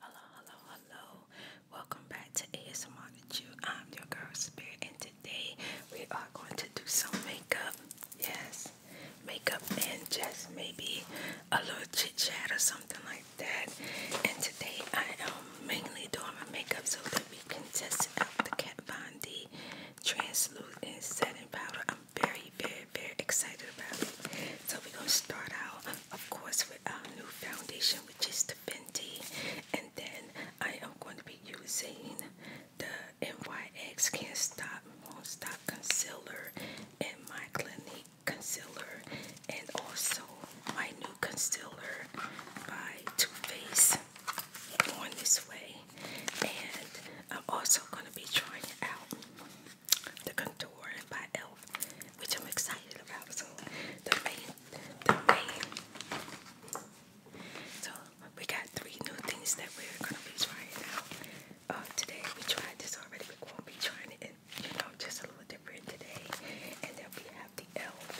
Hello, hello, hello. Welcome back to ASMR with you. I'm your girl Spirit and today we are going to do some makeup. Yes, makeup and just maybe a little chit chat or something like that. And today I am mainly doing my makeup so that we can test out the Kat Von D translucent setting powder. I'm very, very, very excited about it. So we're gonna start out of course with our new foundation which is the Fenty and then I am going to be using the NYX Can't Stop Won't Stop Concealer and my Clinique Concealer and also my new concealer by Too Faced on this way and I'm also going to be trying it out the contour by Elf, which I'm excited about. So the main, the main. So we got three new things that we're gonna be trying out uh, today. We tried this already. We're gonna be trying it, you know, just a little different today. And then we have the Elf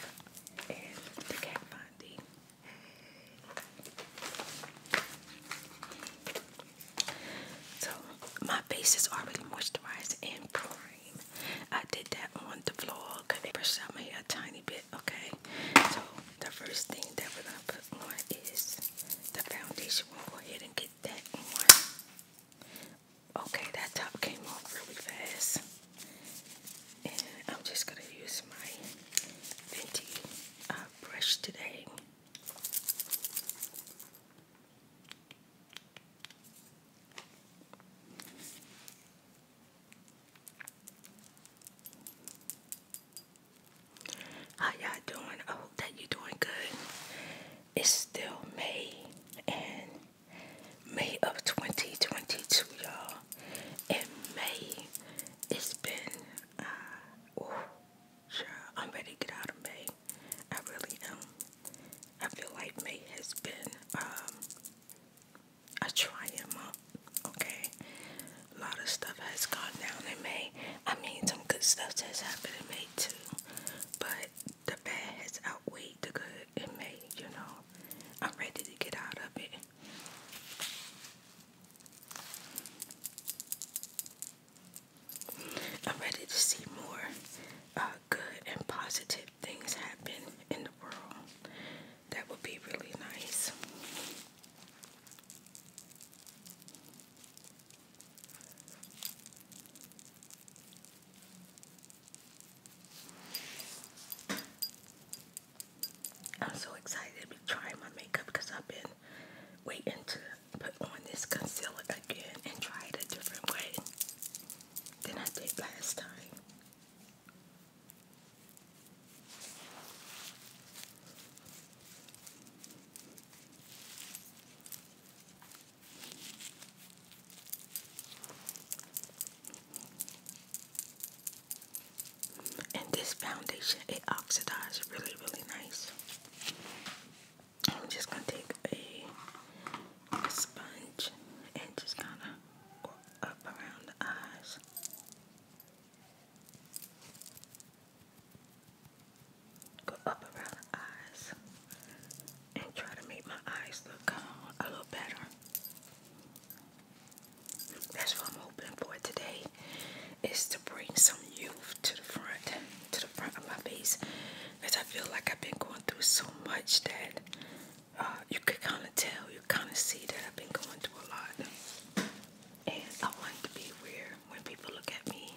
and the Kat Von D. So my is already moisturized and primed. I did that on the vlog. I brushed out my hair a tiny bit, okay? So the first thing that we're gonna put on is the foundation. We'll go ahead and get that on. Okay, that top came off really fast. And I'm just gonna use my Fenty uh, brush today. How y'all doing? I hope that you're doing good. It's still May and May of 2022, y'all. And May, it's been, uh, Sure, I'm ready to get out of May. I really am. I feel like May has been um, a trying month, okay? A lot of stuff has gone down in May. I mean, some good stuff has happened in May too, but the bad has outweighed the good in May, you know? I'm ready to get out of it. I'm ready to see more uh, good and positive things happen in the world. That would be really nice. I'm so excited to be trying my makeup because I've been waiting to put on this concealer again and try it a different way than I did last time. And this foundation, it oxidizes really, really nice. I'm just gonna take a, sponge and just kind of go up around the eyes. Go up around the eyes and try to make my eyes look um, a little better. That's what I'm hoping for today is to bring some youth to the front, to the front of my face, because I feel like I've been going through so much that uh, you could kind of tell, you kind of see that I've been going through a lot. And I want to be where when people look at me,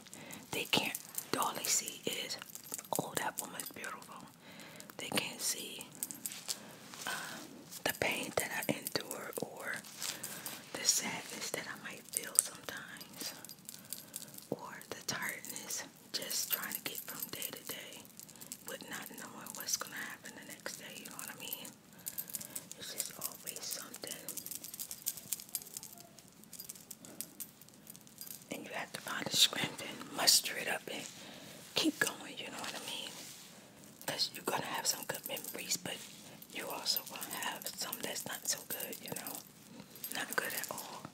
they can't, all they see is, oh, that woman's beautiful. They can't see uh, the pain that I endure or the sadness that I might feel sometimes or the tiredness, just trying to get from day to day with not knowing what's going to happen the next day, you know what I mean? It's just always something. And you have to find a strength and muster it up and keep going, you know what I mean? Because you're going to have some good memories, but you also going to have some that's not so good, you know? Not good at all.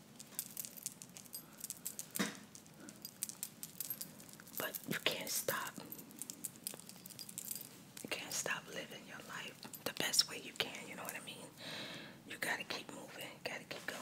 But you can't stop. You can't stop living your life the best way you can, you know what I mean? You gotta keep moving, gotta keep going.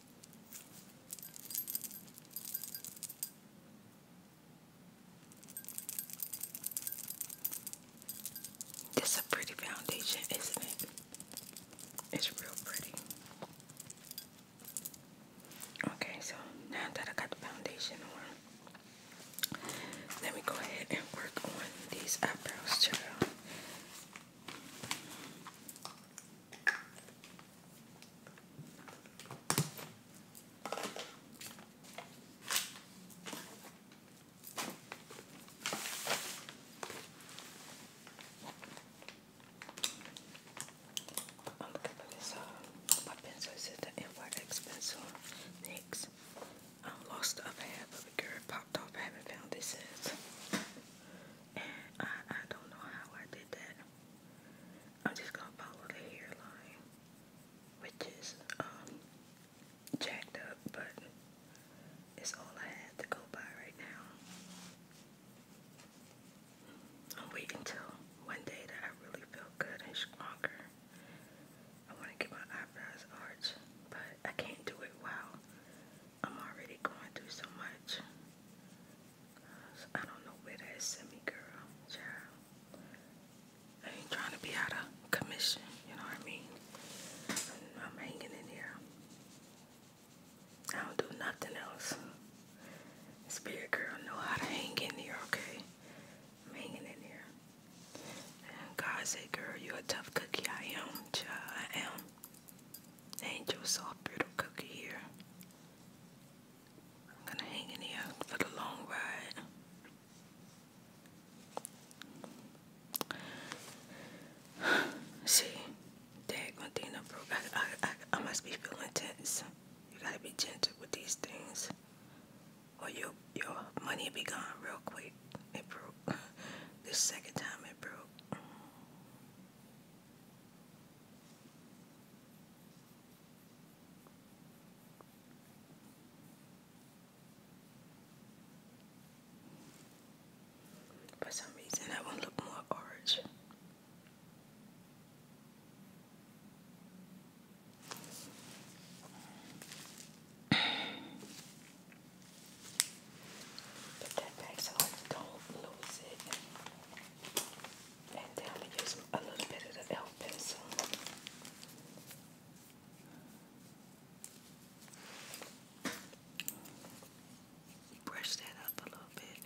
It's a pretty foundation, isn't it? It's real pretty. Okay, so now that I got the foundation on, let me go ahead and work on these eyebrows, child. I'm looking for this, uh, my pencil. This the NYX pencil, NYX. I lost the other half of it, girl. Popped off. I haven't found it since. and I, I don't know how I did that. I'm just gonna follow the hairline, which is um, jacked up, but it's all I have to go by right now. I'll wait until one day that I really feel good and stronger. I want to get my eyebrows arched, but I can't do it while I'm already going through so much. I don't know where that sent me, girl. Child. ain't trying to be out of commission, you know what I mean? I'm hanging in here. I don't do nothing else. Spirit girl know how to hang in here, okay? hanging in here. God said, girl, you a tough cookie. I am, child. I am. Angel soft brittle cookie here. I'm gonna hang in here for the long ride. See, daggone thing I broke. I, I, I, must be feeling tense. You gotta be gentle with these things, or your your money be gone real quick. It broke. This second time it broke. For some reason, that one look more orange. Put that back so I don't lose it. And I'm going to use a little bit of the elf pencil. Brush that up a little bit.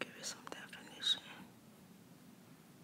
Give me some definition.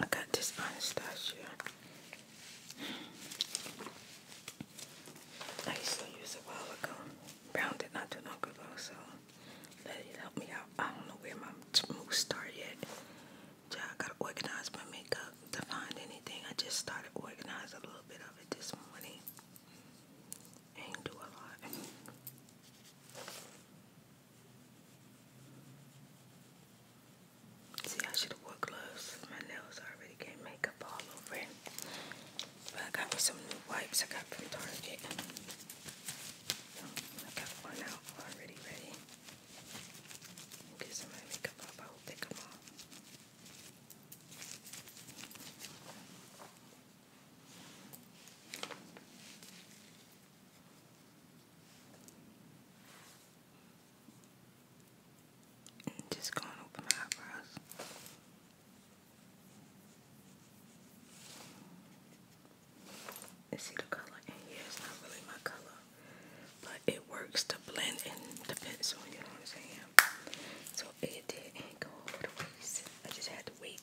Look, I this Anastasia. I used to use it a while ago. Brown did not do no good so let it help me out. I don't know where my moves start yet. Yeah, I gotta organize my makeup to find anything. I just started organizing a little bit of it this morning. Ain't do a lot. See, I should have wore gloves. My nails already get makeup all over But I got me some new wipes I got from Target. I got one out already ready. Get some my makeup up. I will take them all just go and open my eyebrows. see the color in here. not really my color, but it works to blend and depends on you know what I'm saying. So it didn't go over the waist. I just had to wait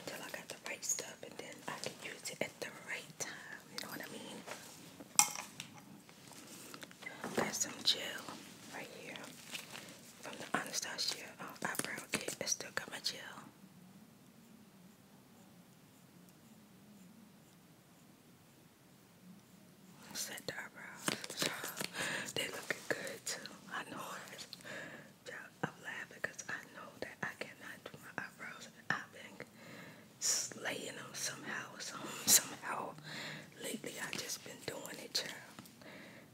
until I got the right stuff and then I can use it at the right time. You know what I mean? Got some gel right here from the Anastasia uh, eyebrow kit. I still got my gel. Set the eyebrows. They looking good too. I know it. I'm laughing I know that I cannot do my eyebrows. I've been slaying them somehow, some, somehow. Lately, I just been doing it, child.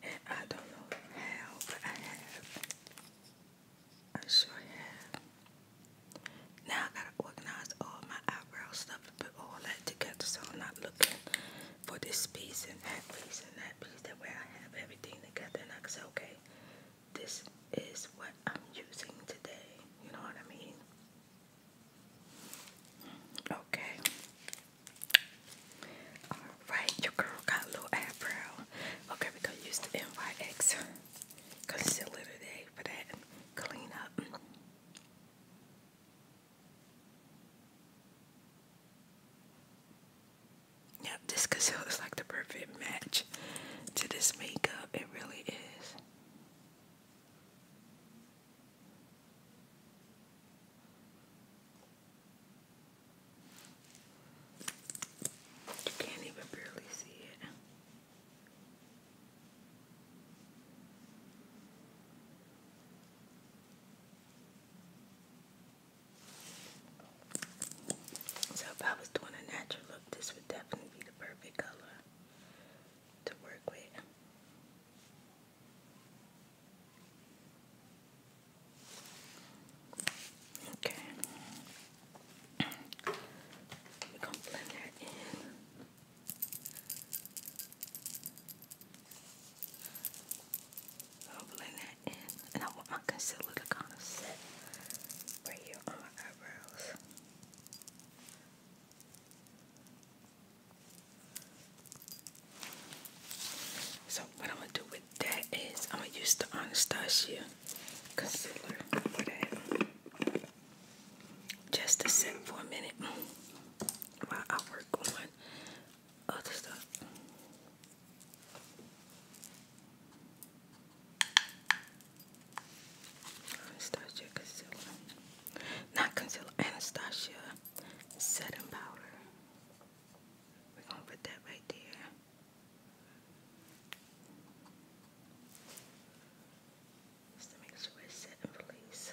And I don't know how, but I have. I sure have. Now I gotta organize all my eyebrow stuff put all that together so I'm not looking for this piece and that piece and that piece. That way I have everything together and I say, okay, this is what I'm using today. You know what I mean? Okay. Alright, your girl got a little eyebrow. Okay, we gonna use the NYX concealer today for that clean up. Yep, this concealer is like the perfect match to this makeup. It really is. You can't even barely see it. So if I was doing a natural look, this would definitely be the perfect color to work with. Okay. We're gonna blend that in blend that in, and I want my concealer to kind of set right here on my eyebrows. So what I'm gonna do with that is I'm gonna use the Anastasia concealer for that. Just to set for a minute while I work work on other stuff. Anastasia concealer, not concealer, Anastasia setting powder. We're gonna put that right there. Just to make sure it's set and release.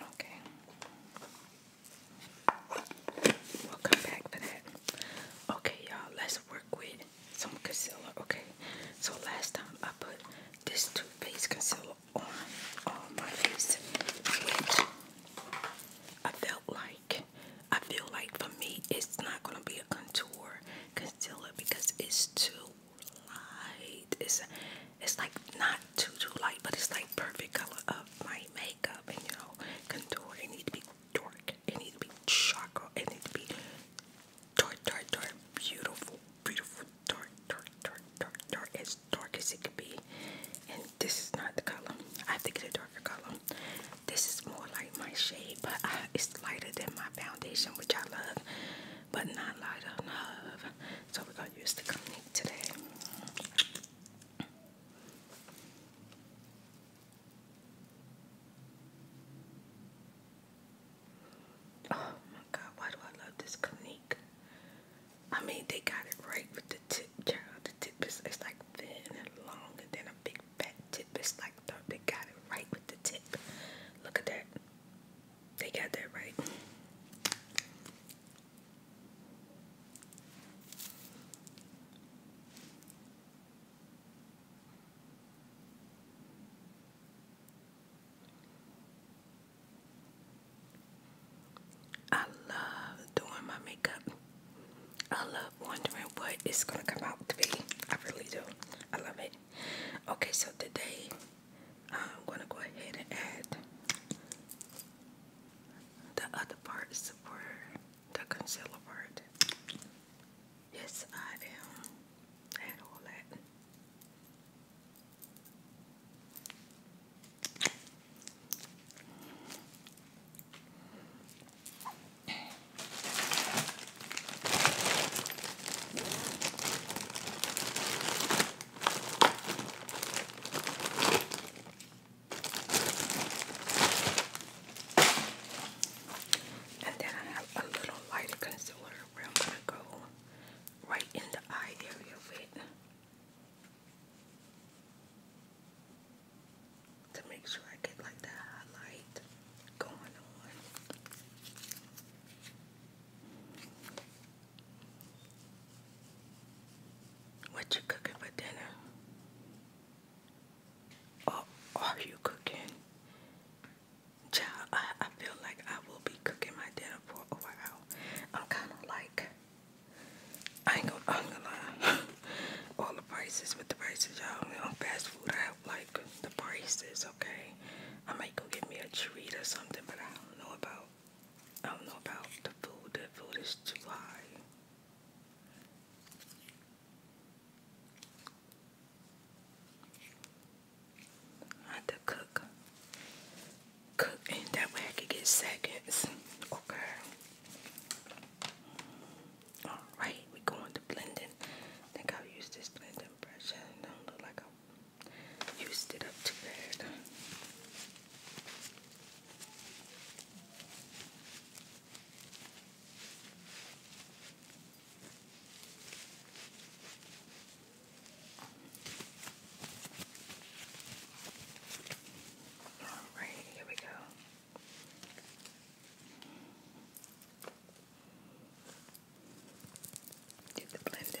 Okay. We'll come back for that. Okay, y'all, let's work with some concealer. Okay, so last time I put this Too Faced concealer on, my face, which I felt like, I feel like for me, it's not going to be a contour concealer because it's too light. It's it's like not too too light, but it's like perfect color of my makeup and you know contour. It need to be dark. It need to be charcoal. It need to be dark, dark, dark, beautiful, beautiful, dark, dark, dark, dark, dark, as dark as it could be. And this is not the color. I have to get a darker color. This is more like my shade, but uh, it's lighter than my foundation, which I love but not light enough. So we got used to use the Clinique today. Oh my god, why do I love this Clinique? I mean, they got it right with the tip, child. The tip is it's like thin and long, and then a big fat tip. It's like they got it right with the tip. Look at that. They got that right. I love doing my makeup. I love wondering what gonna come out to be. I really do. I love it. Okay, so today I'm gonna go ahead and add the other part, for the concealer part. Yes, I am. Add all that. And then I have a little lighter concealer where I'm going to go right in the eye area of to make sure I get like the highlight going on. What you cooking for dinner? Or are you cooking? Child, I, I feel like I will be cooking my dinner for a while. I'm kind of like, I ain't gonna, i to lie. All the prices with the prices, y'all. You know, fast food, I have like prices, okay? I might go get me a treat or something, but I don't know about I don't know about the food. The food is too high. I had to cook. Cook and that way I could get seconds. Okay. Alright, we going to blending. think I'll use this blending brush. don't look like I used it up to bed. All right, here we go. Get the blender.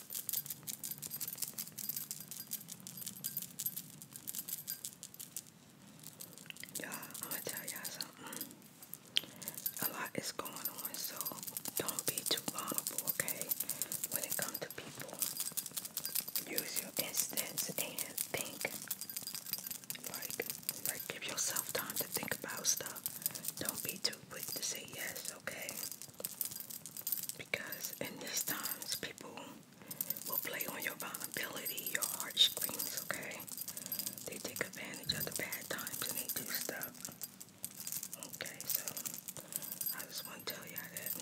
you I'm gonna tell y'all something. A lot is going on, so don't be too vulnerable, okay? When it comes to people, use your instincts and think. Like, like give yourself time to think about stuff. Don't be too quick to say yes, okay? Because in these times, people will play on your vulnerability, your heart screams, okay? They take advantage of the bad times and they do stuff. Okay, so I just want to tell y'all that.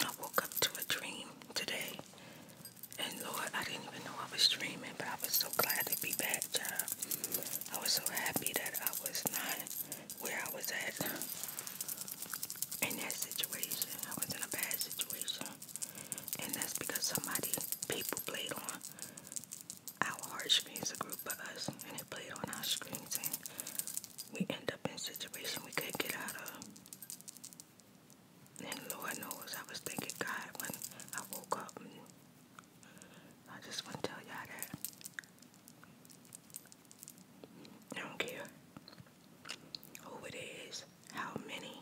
I woke up to a dream today, and Lord, I didn't even know I was dreaming, but I was so glad to be back, child. I was so happy that I was not where I was at in that situation. I was in a bad situation, and that's because somebody, people played on our screens, a group of us, and they played on our screens, and we end up in a situation we couldn't get out of. And Lord knows I was thinking God when I woke up. I just want to tell y'all that. I don't care who it is, how many,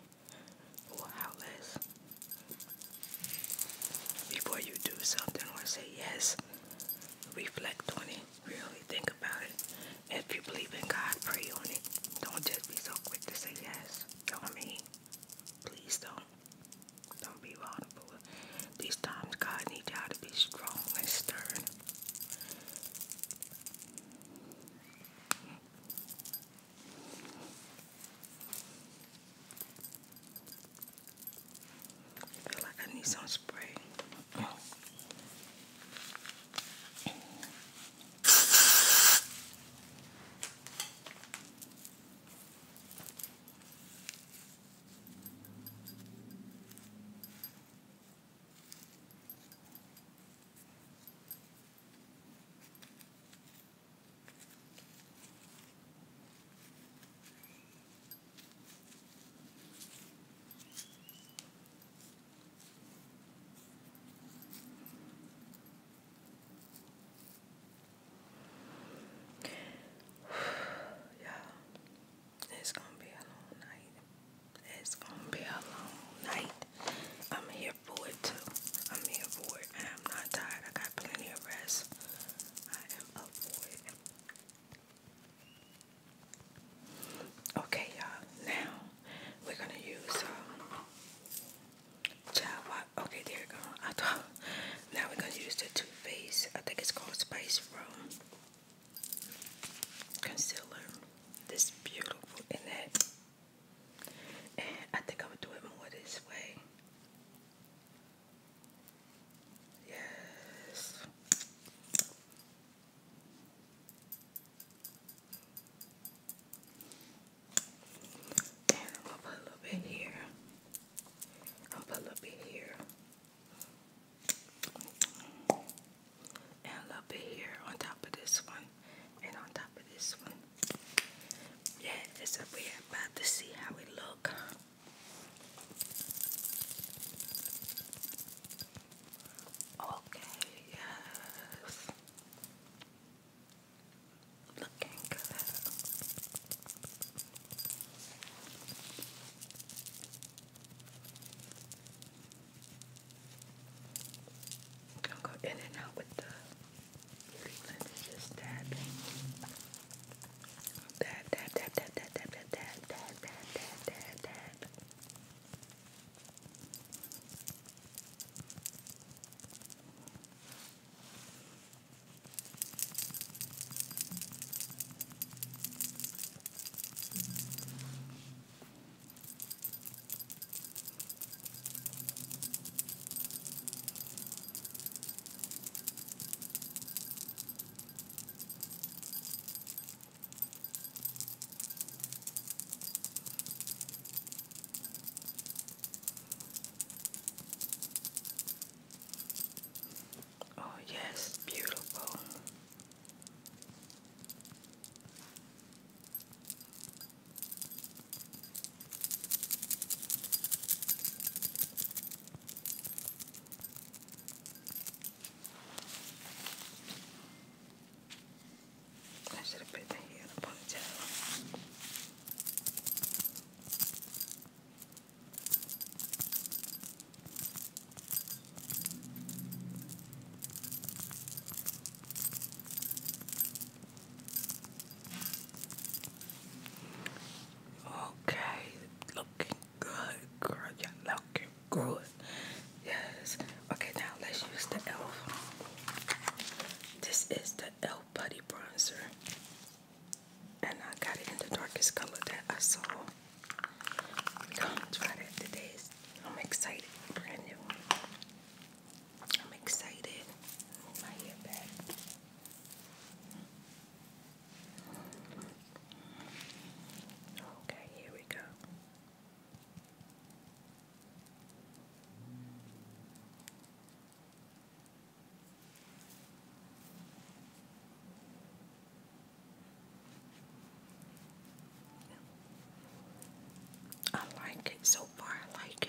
or how less. Before you do something or say yes, reflect on Really think about it. If you believe in God, pray on it. Don't just be so quick to say yes. I mean? Please don't. Don't be vulnerable. These times, God needs you to be strong and stern. I feel like I need some spray. yeah, it's gonna be a long night. It's gonna be a long night. I'm here for it too. I'm here for it. I'm not tired. I got plenty of rest. I am up for Okay, y'all. Now we're gonna use um, Okay, there we go. Now we're gonna use the Too Faced. I think it's called Spice Room concealer. This beautiful And I think I would do it more this way. Yes. And I'm put a little bit here. I'll put a little bit here. And a little bit here on top of this one. And on top of this one. Yeah, it's a way about to see how it look. Okay, yes. Looking good. I'm go in and out with the let just tapping. Dab, dab, dab, dab, dab, dab, dab, dab, dab, dab, dab, dab, dab. Oh, yes, beautiful. I should have put the here in a ponytail. Okay, looking good, girl. Y'all looking good. Yes. Okay, now let's use the e.l.f. This is the e.l.f. Buddy Bronzer. And I got it in the darkest color that I saw. we try that today. I'm excited. Brand new. I'm excited. Move my hair back. Okay, here we go. I like it so far, I like it.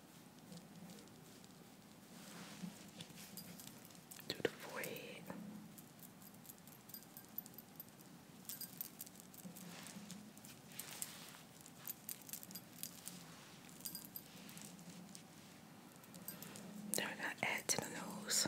to the forehead. Then we add to the nose.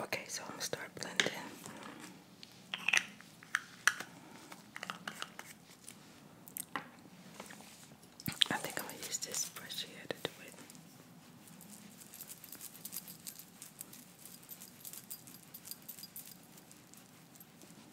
Okay, so I'm gonna start blending. I think I'm gonna use this brush here to do it.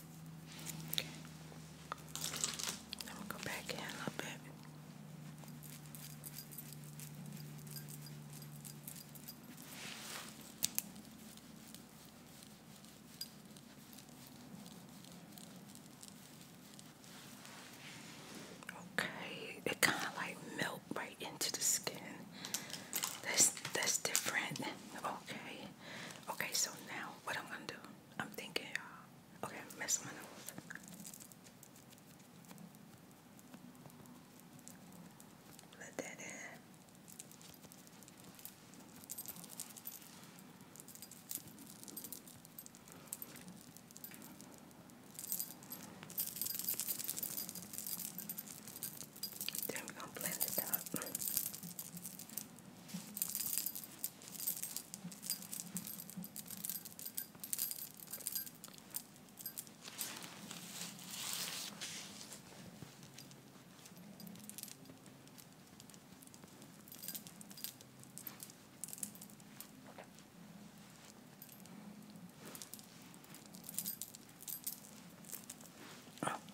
Okay. I'm go back in a little bit. Okay, it kind of like melt right into the skin. That's that's different. Okay, okay. So now what I'm gonna do? I'm thinking, y'all. Uh, okay, mess my nose. Let that in. Then we gonna blend it out.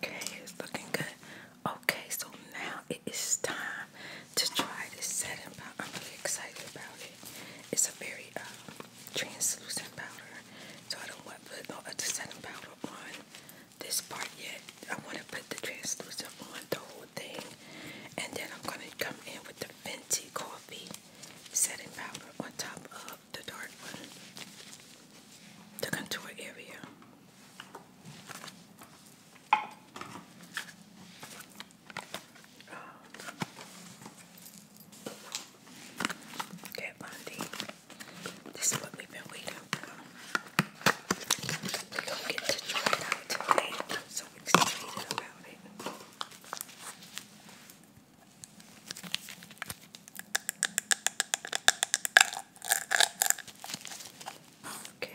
Okay, it's looking good. Okay, so now it is time to try this setting powder. I'm really excited about it. It's a very uh, translucent powder, so I don't want to put no other setting powder on this part yet. I want to put the translucent on the whole thing, and then I'm going to come in with the Fenty Coffee setting powder on top of the dark one, the contour area. Kat Bundy. This is what we've been waiting for. We don't get to try it today, so excited about it. Okay.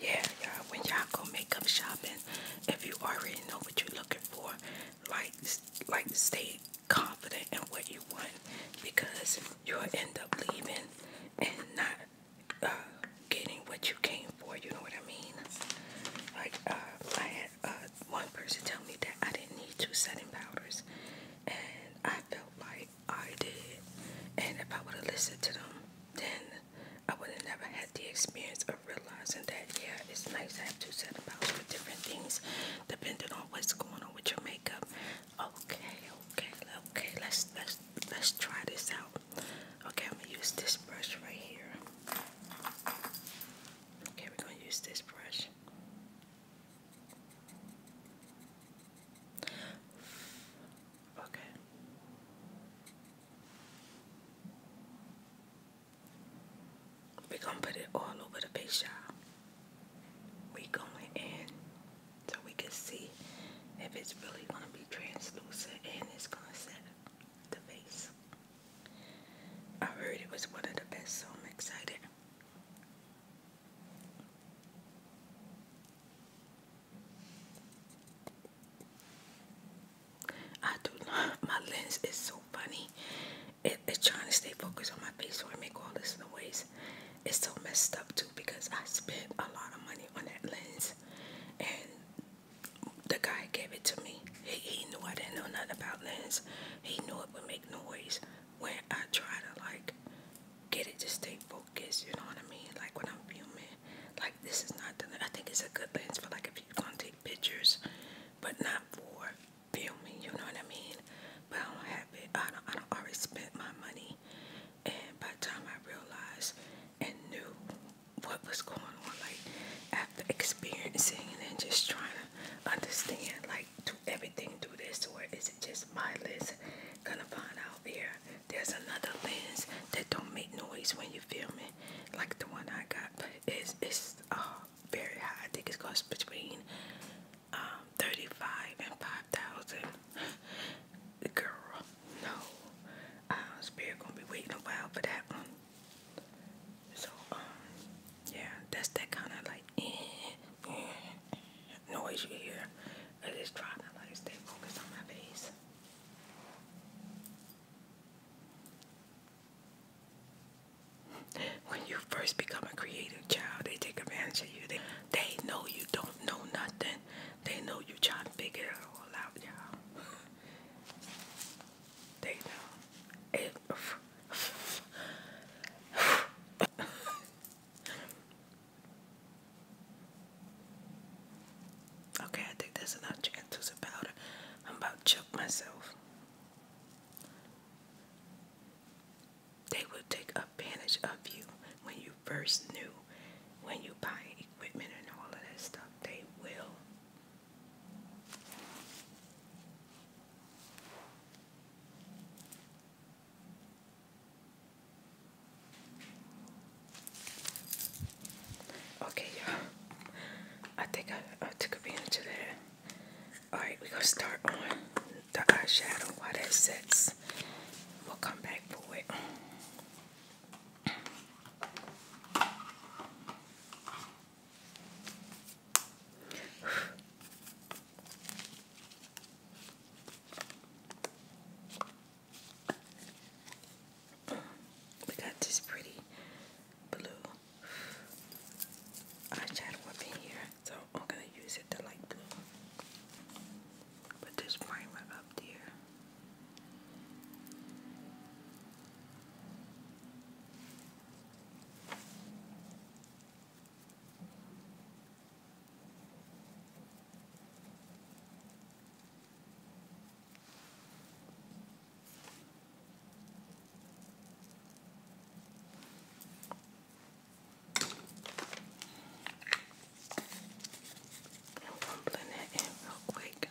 Yeah, y'all, when y'all go makeup shopping, if you already know what you're looking for, like, like stay confident in what you want because you'll end up leaving and not uh, getting what you came for. You know what I mean? Like, uh, I had uh, one person tell me that I didn't need two setting powders, and I felt like I did. And if I would have listened to them, then I would have never had the experience of realizing that, yeah, it's nice to have two sets of mouths for different things depending on what's going on with your makeup. Okay, okay, okay, let's let's let's try this out. Okay, I'm gonna use this brush right here. Okay, we're gonna use this brush. Okay. We're gonna put it all over the big shop. We going in so we can see if it's really gonna be translucent and it's gonna set the face. I heard it was one of the best, so I'm excited. I do not. My lens is so funny. it's trying to stay focused on my face, so I make all this noise. It's so messed up too because I spent a lot of money on that lens, and the guy gave it to me. He, knew I didn't know nothing about lenses. He knew it would make noise, when I try to like get it to stay focused, you know what I mean? Like when I'm filming, like this is not the I think it's a good lens for like if you're gonna take pictures, but not for filming, you know what I mean? But I don't have it, I don't I don't already spent my money and by the time I realized and knew what was going on, like after experiencing and then just trying to understand like to everything do this or is it just my list? Gonna find out here. There's another lens that don't make noise when you film it, like the one I got. But it's it's uh, very high. I think it's costs between um, thirty-five and five thousand. Girl, no. Spirit gonna be waiting a while for that one. So um, yeah, that's that kind of like eh, eh, noise you hear. I just try to like stay focused on my face. When you first become a creative child, they take advantage of you. They, they know you don't know nothing. They know you are trying to figure it all out, y'all. They know okay, I think that's enough chicken tools and I'm about to choke myself. They will take advantage of you when you first knew, when you buy equipment and all of that stuff. They will. Okay, you I think I, took advantage of that. Alright, we're gonna start on the eyeshadow while that sets. We'll come back for it. We got this pretty blue eyeshadow up in here, so I'm gonna use it to light Put this primer up there. I'm crumbling that in real quick.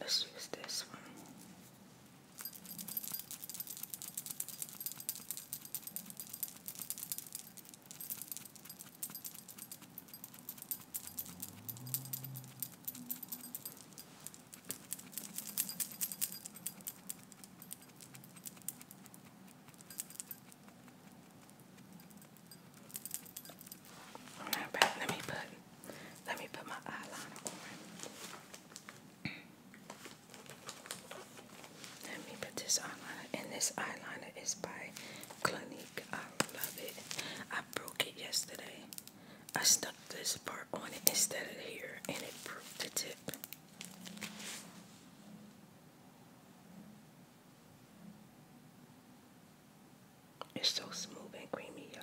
Let's use this one. All right, let me put let me put my eyeliner on. Let me put this eyeliner, and this eyeliner is by Clinique. I love it. I broke it yesterday. I stuck this part on it instead of here, and it broke the tip. It's so smooth and creamy, y'all.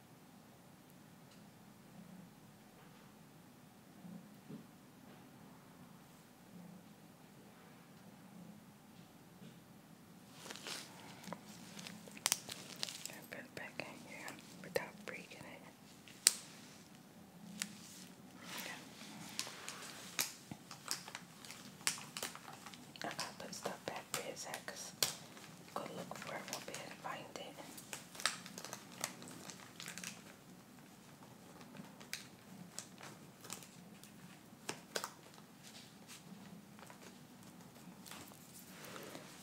And put it back in here without breaking it. Okay. I gotta put stuff that is go look for it, will be able to find it.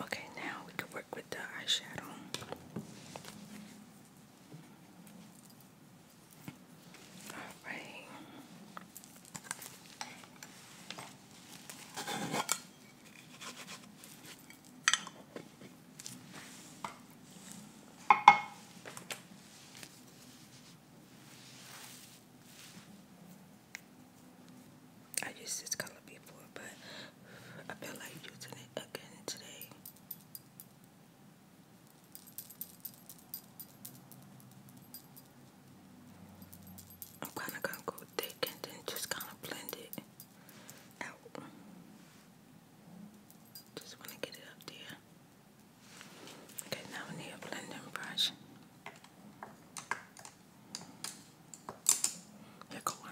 Okay, now we can work with the eyeshadow. All right. I used this color before, but I feel like using it again today. I'm kind of going to go thick and then just kind of blend it out. Just want to get it up there. Okay, now I need a blending brush. Here go on.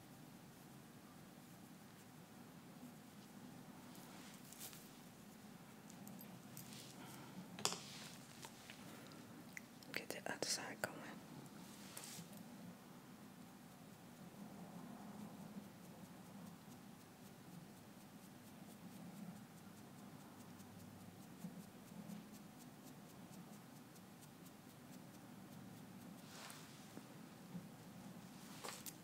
Get the other side going.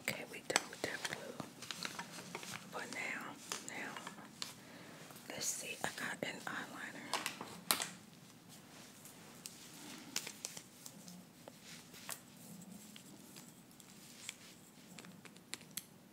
Okay, we done with that blue. But now, now, let's see. I got an eyeliner.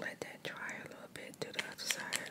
Let that dry a little bit to the other side.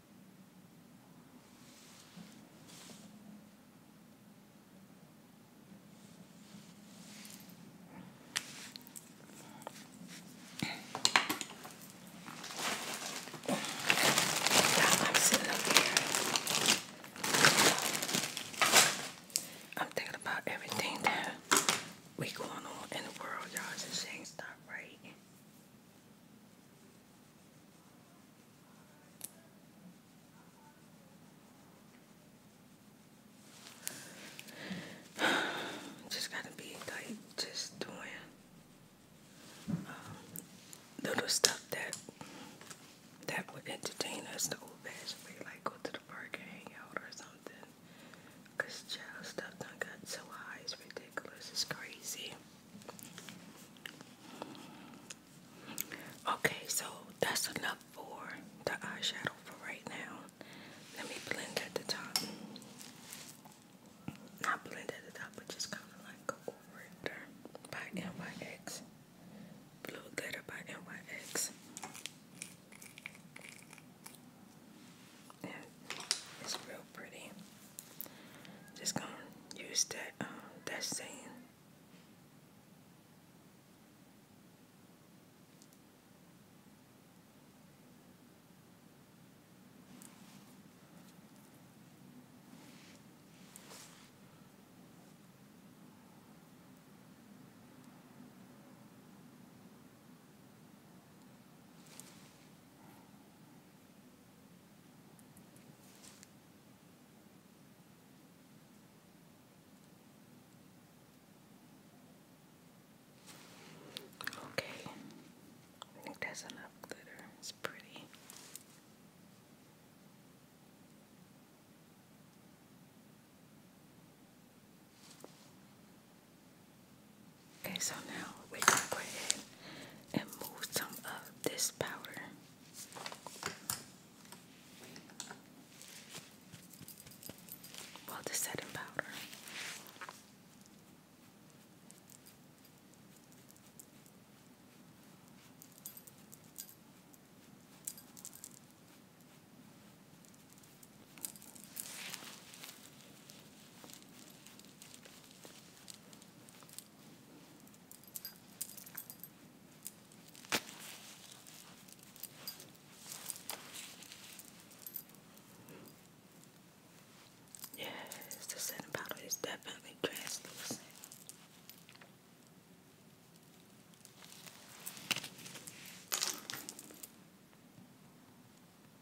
I'm I'm thinking about everything that we going on in the world, y'all. Just ain't stop right. Just gotta be like just doing um, little stuff that that would entertain us the old fashioned way, like go to the park and hang out or something. Cause child stuff done got so high, it's ridiculous, it's crazy. Okay, so that's enough for the eyeshadow for right now. Let me blend at the top. Not blend at the top, but just kind of like go over it by NYX. Blue Glitter by NYX it's real pretty. Just gonna use that um, that same. Okay, I think that's enough glitter. It's pretty. Okay, so now we can go ahead and move some of this powder. Well, the setting powder. Yes, the scent bottle is definitely translucent.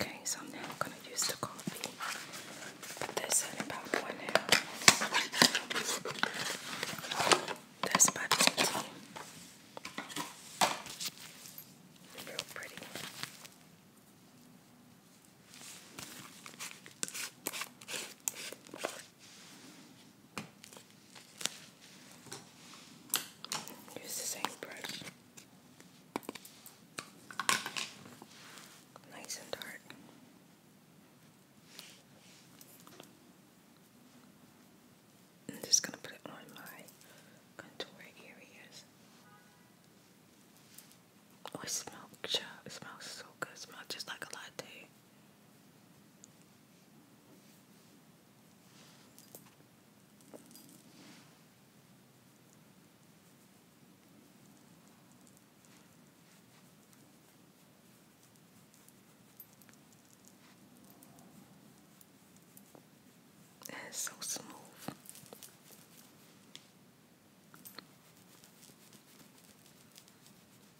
Okay, so I'm now going to use the coffee. Put about one That's about 15. Real pretty. Use the same brush. Nice and dark. I'm just going to put it on my contour areas. Oh, smells, it smells so good. It smells just like a latte. It's so smooth.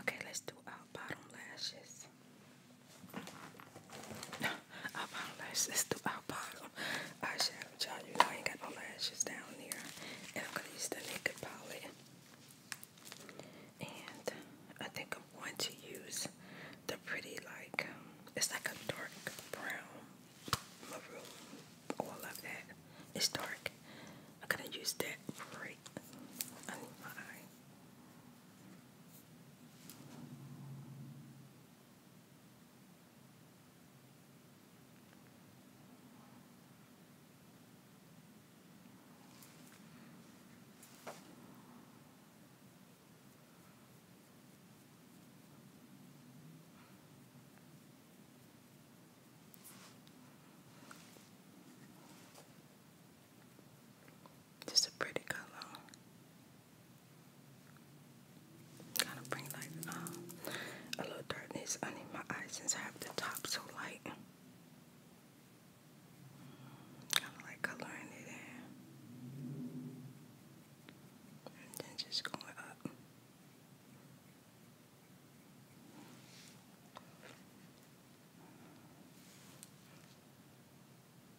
Okay, let's do our bottom lashes. I apologize. This the our bottom eyeshadow, y'all. You know I ain't got no lashes down here, and I'm gonna use the Naked palette. And I think I'm going to use the pretty, like um, it's like a dark brown, maroon, all that. It's dark. I'm gonna use that right under my eye. Just a pretty color. Kind of bring like um, a little darkness under my eyes since I have the top so light. Kind of like coloring it And then just going up.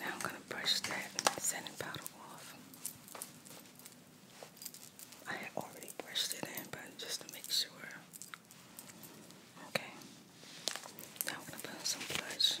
Now I'm going to brush that setting powder off. I have already brushed it in, but just to make sure. Okay. Now I'm gonna put some blush.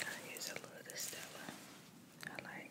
I use a little of Stella. I like.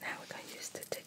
Now we're going to use the thick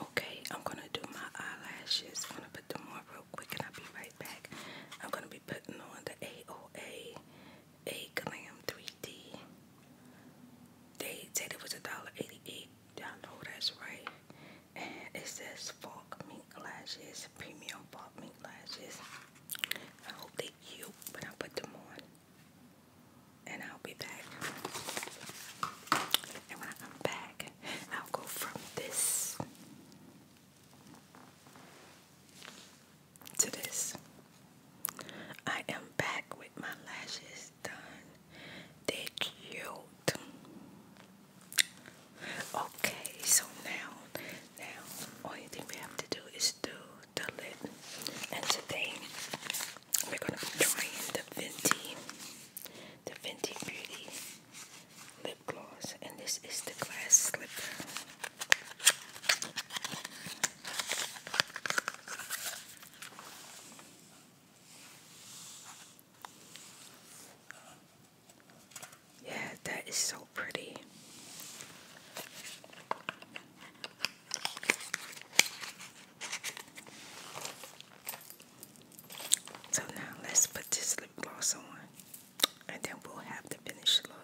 Okay, I'm gonna do my eyelashes. I'm gonna put them on real quick and I'll be right back. I'm gonna be putting on the AOA A Glam 3D. They said it was a dollar eighty-eight. I know that's right. And it says Falk Mink Lashes, Premium Falk Mink Lashes. I hope they cute when I put them on and I'll be back. And when I come back, I'll go from this to this. I am back with my lashes done. They're cute. Okay, so now, now, only thing we have to do is do the lip. And today, we're gonna be trying the Fenty, the Fenty Beauty lip gloss, and this is the glass Slip. Yeah, that is so pretty. So now let's put this lip gloss on and then we'll have the finished look.